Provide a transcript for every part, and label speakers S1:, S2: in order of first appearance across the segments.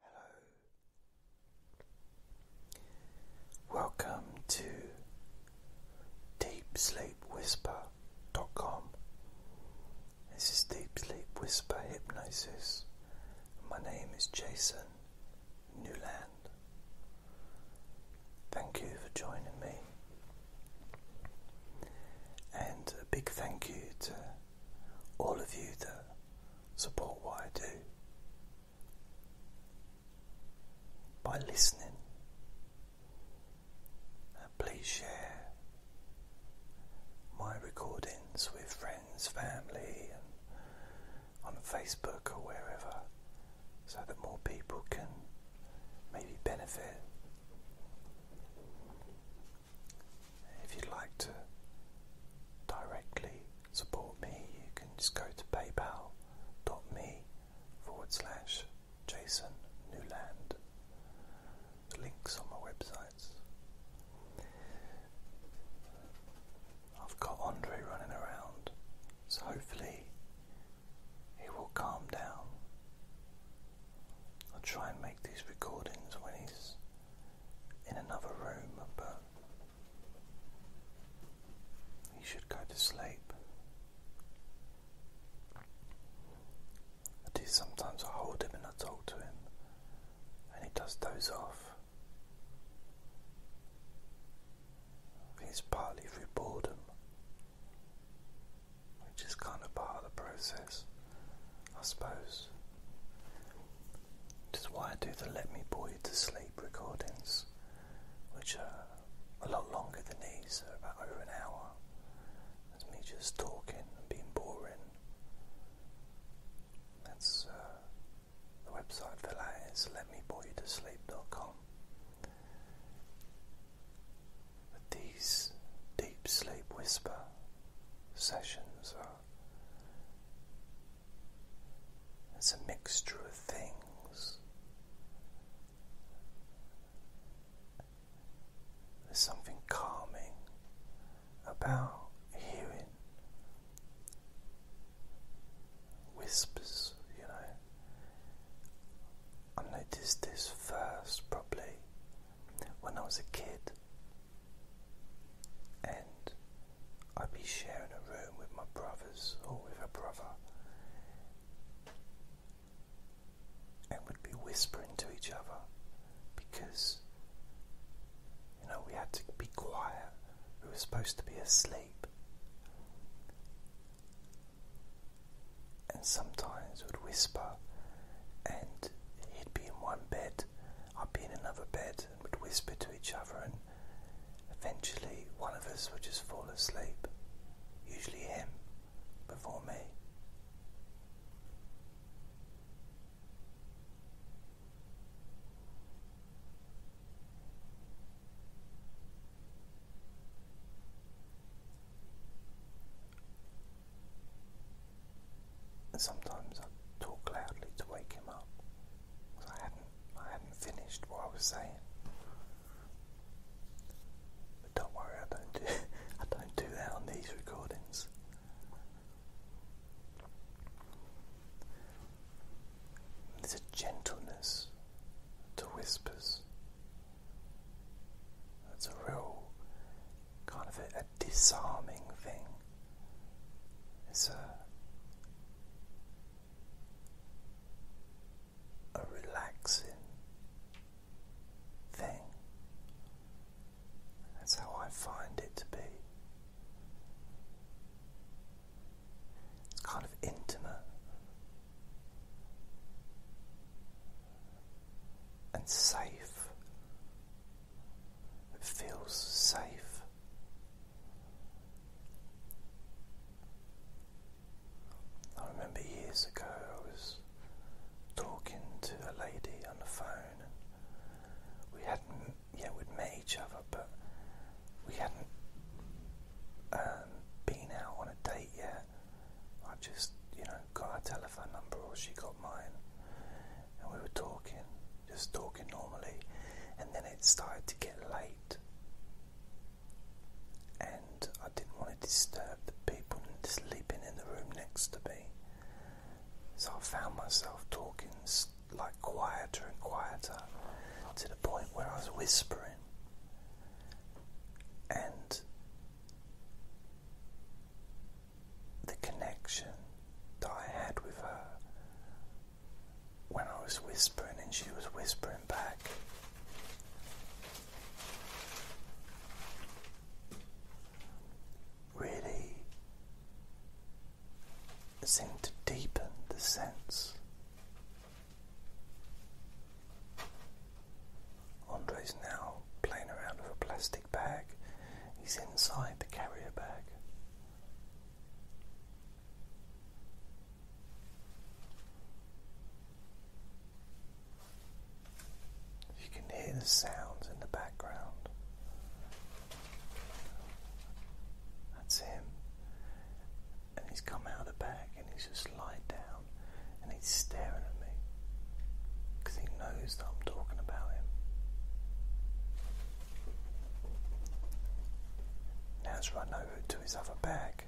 S1: Hello. Welcome to deepsleepwhisper.com. This is Deep Sleep Whisper Hypnosis. My name is Jason Newland. Thank you for joining me. And a big thank you to all of you that support what I do by listening. And please share my recordings with friends, family, and on Facebook or wherever, so that more people can maybe benefit. If you'd like to directly support me, you can just go to paypal.me forward slash Jason Newland. The links on my websites. I've got Andre running around, so hopefully he will calm down. I'll try and make these recordings when he's in another room, but he should go to sleep. I do sometimes I hold him and I talk to him and he does doze off. He's partly through boredom, which is kind of part of the process. I suppose. This is why I do the Let Me Boy to Sleep recordings, which are a lot longer than these, are about over an hour. That's me just talking and being boring. That's uh, the website for that is letmeboytosleep.com. But these deep sleep whisper sessions are it's a mixture of things. There's something calming about hearing whispers, you know. I noticed this first probably when I was a kid, and I'd be sharing a room with my brothers or with a brother, and would be whispering to each other because you know we had to be quiet, we were supposed to be asleep. And sometimes would whisper, and he'd be in one bed I'd be in another bed, and would whisper to each other, and eventually one of us would just fall asleep, usually him before me. Sometimes I talk loudly to wake him up because I hadn't I hadn't finished what I was saying. But don't worry, I don't do I don't do that on these recordings. There's a gentleness to whispers. That's a real kind of a, disarming thing. It's a, a relaxing thing. That's how I find it to be. It's kind of intimate and safe it feels safe. I remember years ago I was talking to a lady on the phone and we hadn't yet we'd met each other but we hadn't um, been out on a date yet. I just, you know, got her telephone number or she got mine, and we were talking, just talking normally, and then it started to get late, and I didn't want to disturb the people sleeping in the room next to me, so I found myself talking like quieter and quieter to the point where I was whispering. And the connection that I had with her when I was whispering and she was whispering back. Really seemed to deepen the sense Andre is now playing around with a plastic bag. He's inside the carrier bag. You can hear the sounds in the background. That's him. And he's come out of the bag and he's just lied down and he's staring at me because he knows that I'm talking about him. Now he's run over to his other bag.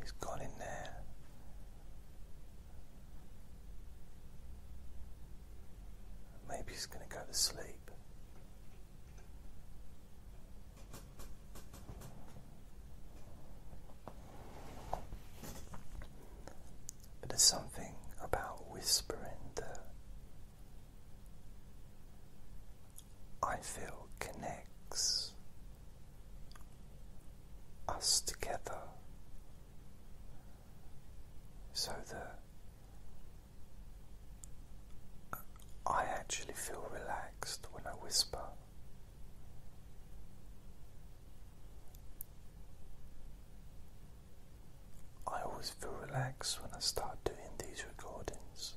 S1: He's gone in there. Maybe he's going to go to sleep. But there's something about whispering that I feel connects us together so that I actually feel relaxed when I whisper. I always feel relaxed when I start doing these recordings.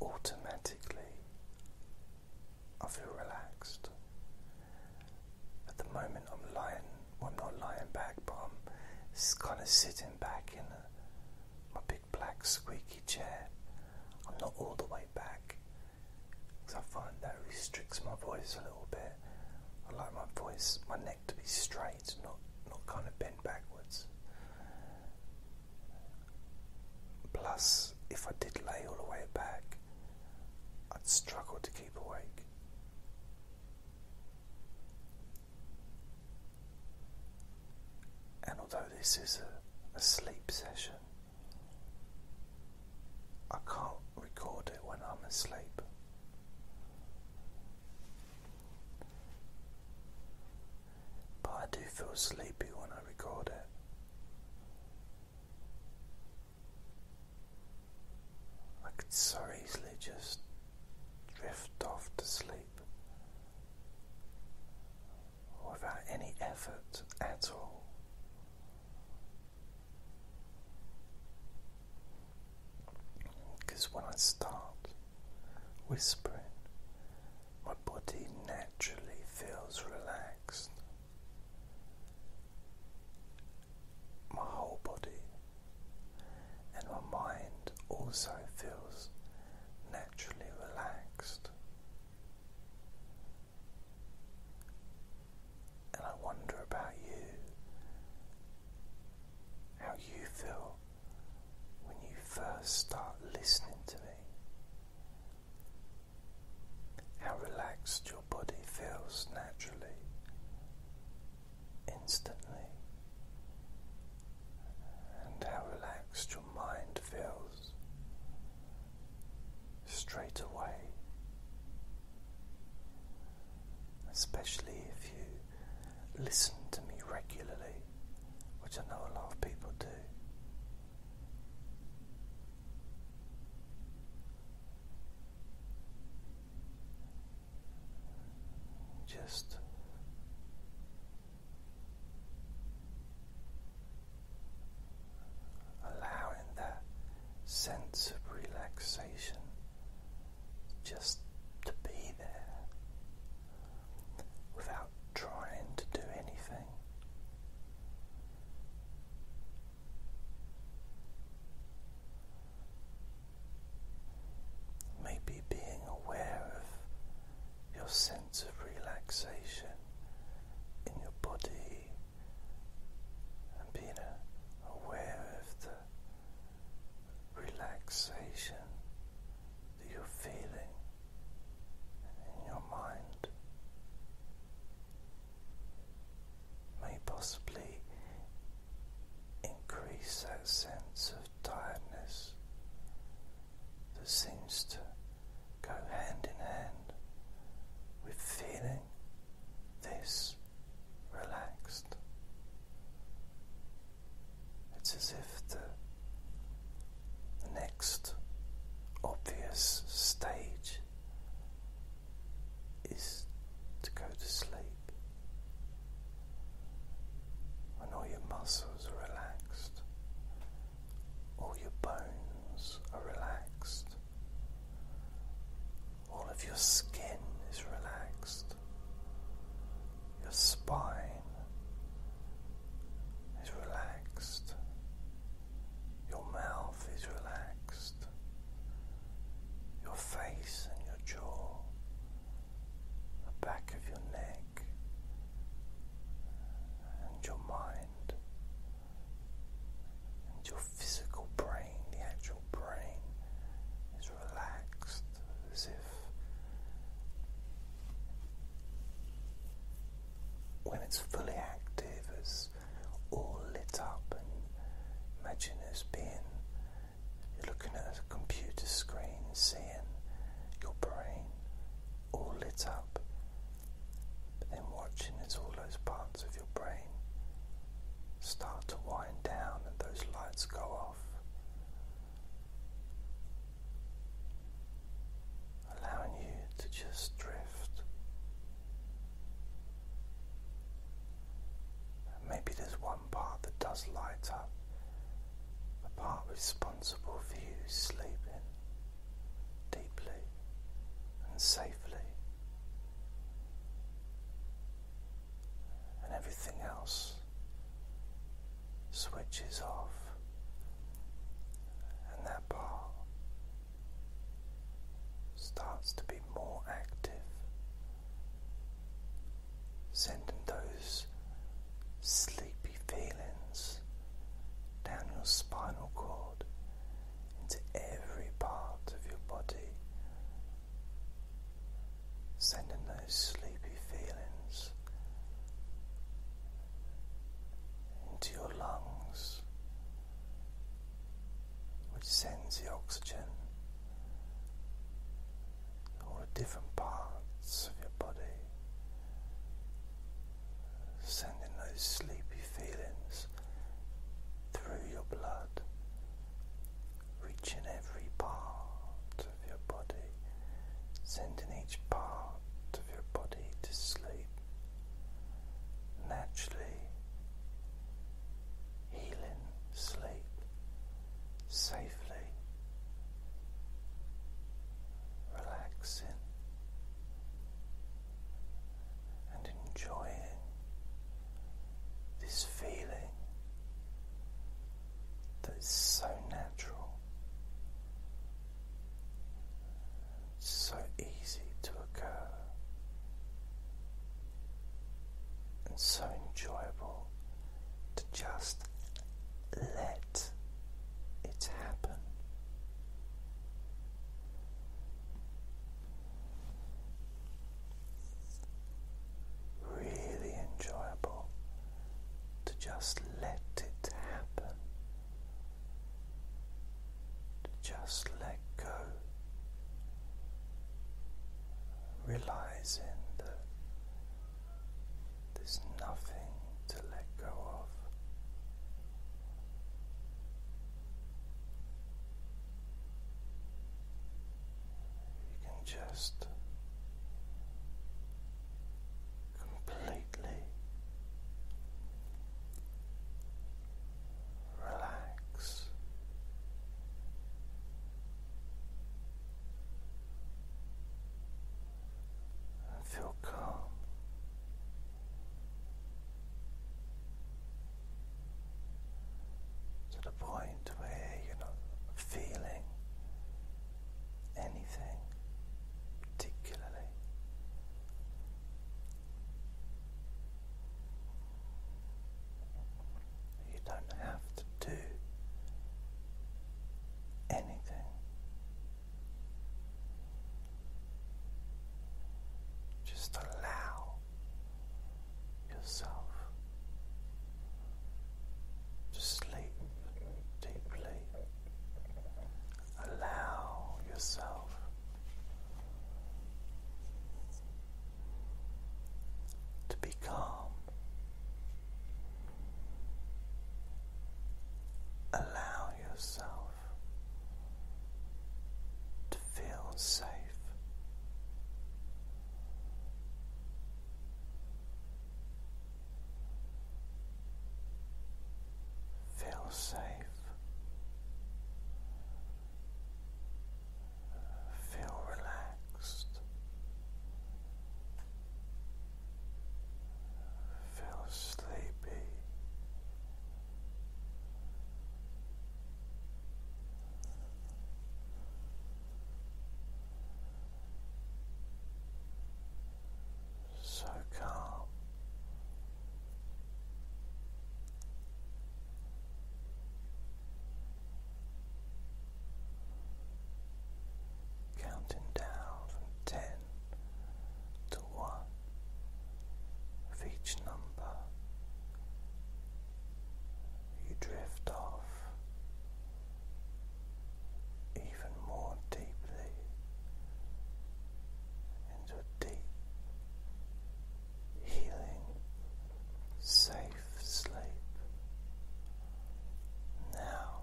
S1: Automatically, I feel relaxed. At the moment, I'm lying, I'm not lying back, but I'm kind of sitting back in my big black squeaky chair. I'm not all the way back because I find that restricts my voice a little bit. I like my voice, my neck to be straight, not not kind of bent backwards. Plus, if I did lay all the way back, I'd struggle to keep awake. And although this is a, a sleep session, I can't record it when I'm asleep. But I do feel sleepy when I record it. I could so easily just drift off to sleep without any effort at all. Because when I start whispering, my body naturally feels relaxed. My whole body and my mind also feels naturally relaxed. And I wonder about you, how you feel when you first start listening to me, how relaxed your body feels naturally, instantly, and how relaxed your mind feels straight away, especially if you listen to me regularly, which I know a lot of people do. Just allowing that sense of relaxation just to be there without trying to do anything. Maybe being aware of your sense of relaxation in your body and being aware of the relaxation that you're feeling in your mind may possibly increase that sense of tiredness that seems to go hand in hand with feeling this relaxed. It's as if the, next obvious stage is to go to sleep when all your muscles are relaxed. All your bones are relaxed. All of your skin is relaxed. Your spine is relaxed. Your mouth is relaxed. Your face and your jaw, the back of your neck, and your mind and your physical brain, the actual brain, is relaxed as if when it's fully active, it's all lit up. And imagine as being you're looking at a computer screen, seeing your brain all lit up but then watching as all those parts of your brain start to wind down and those lights go off. Allowing you to just drift. Maybe there's one part that does light up, a part responsible for you sleeping deeply and safely, and everything else switches off, and that part starts to be more active, sending those sleepy feelings down your spinal cord into every part of your body, sending those sleepy feelings into your lungs, which sends the oxygen to all the different parts of your body sending those sleepy feelings through your blood, reaching every part of your body, sending each part of your body to sleep, naturally healing sleep safely, relaxing and enjoying this feeling that's so natural, so easy to occur, and so enjoyable to just let let it happen. Really enjoyable to just let it happen, to just let go, realizing that there's nothing to let go of. You can just completely relax. I feel calm. To the point where you're not feeling anything particularly. You don't have to do anything just allow yourself to sleep deeply. Allow yourself to be calm Allow yourself to feel safe. Feel safe. Feel relaxed. Feel sleepy. So calm counting down from ten to one of each number. You drift off even more deeply into a deep, healing, safe sleep. Now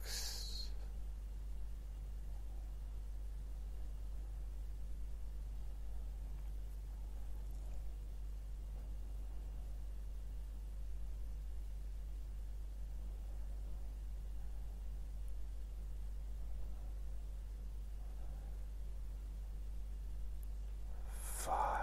S1: relax. Five.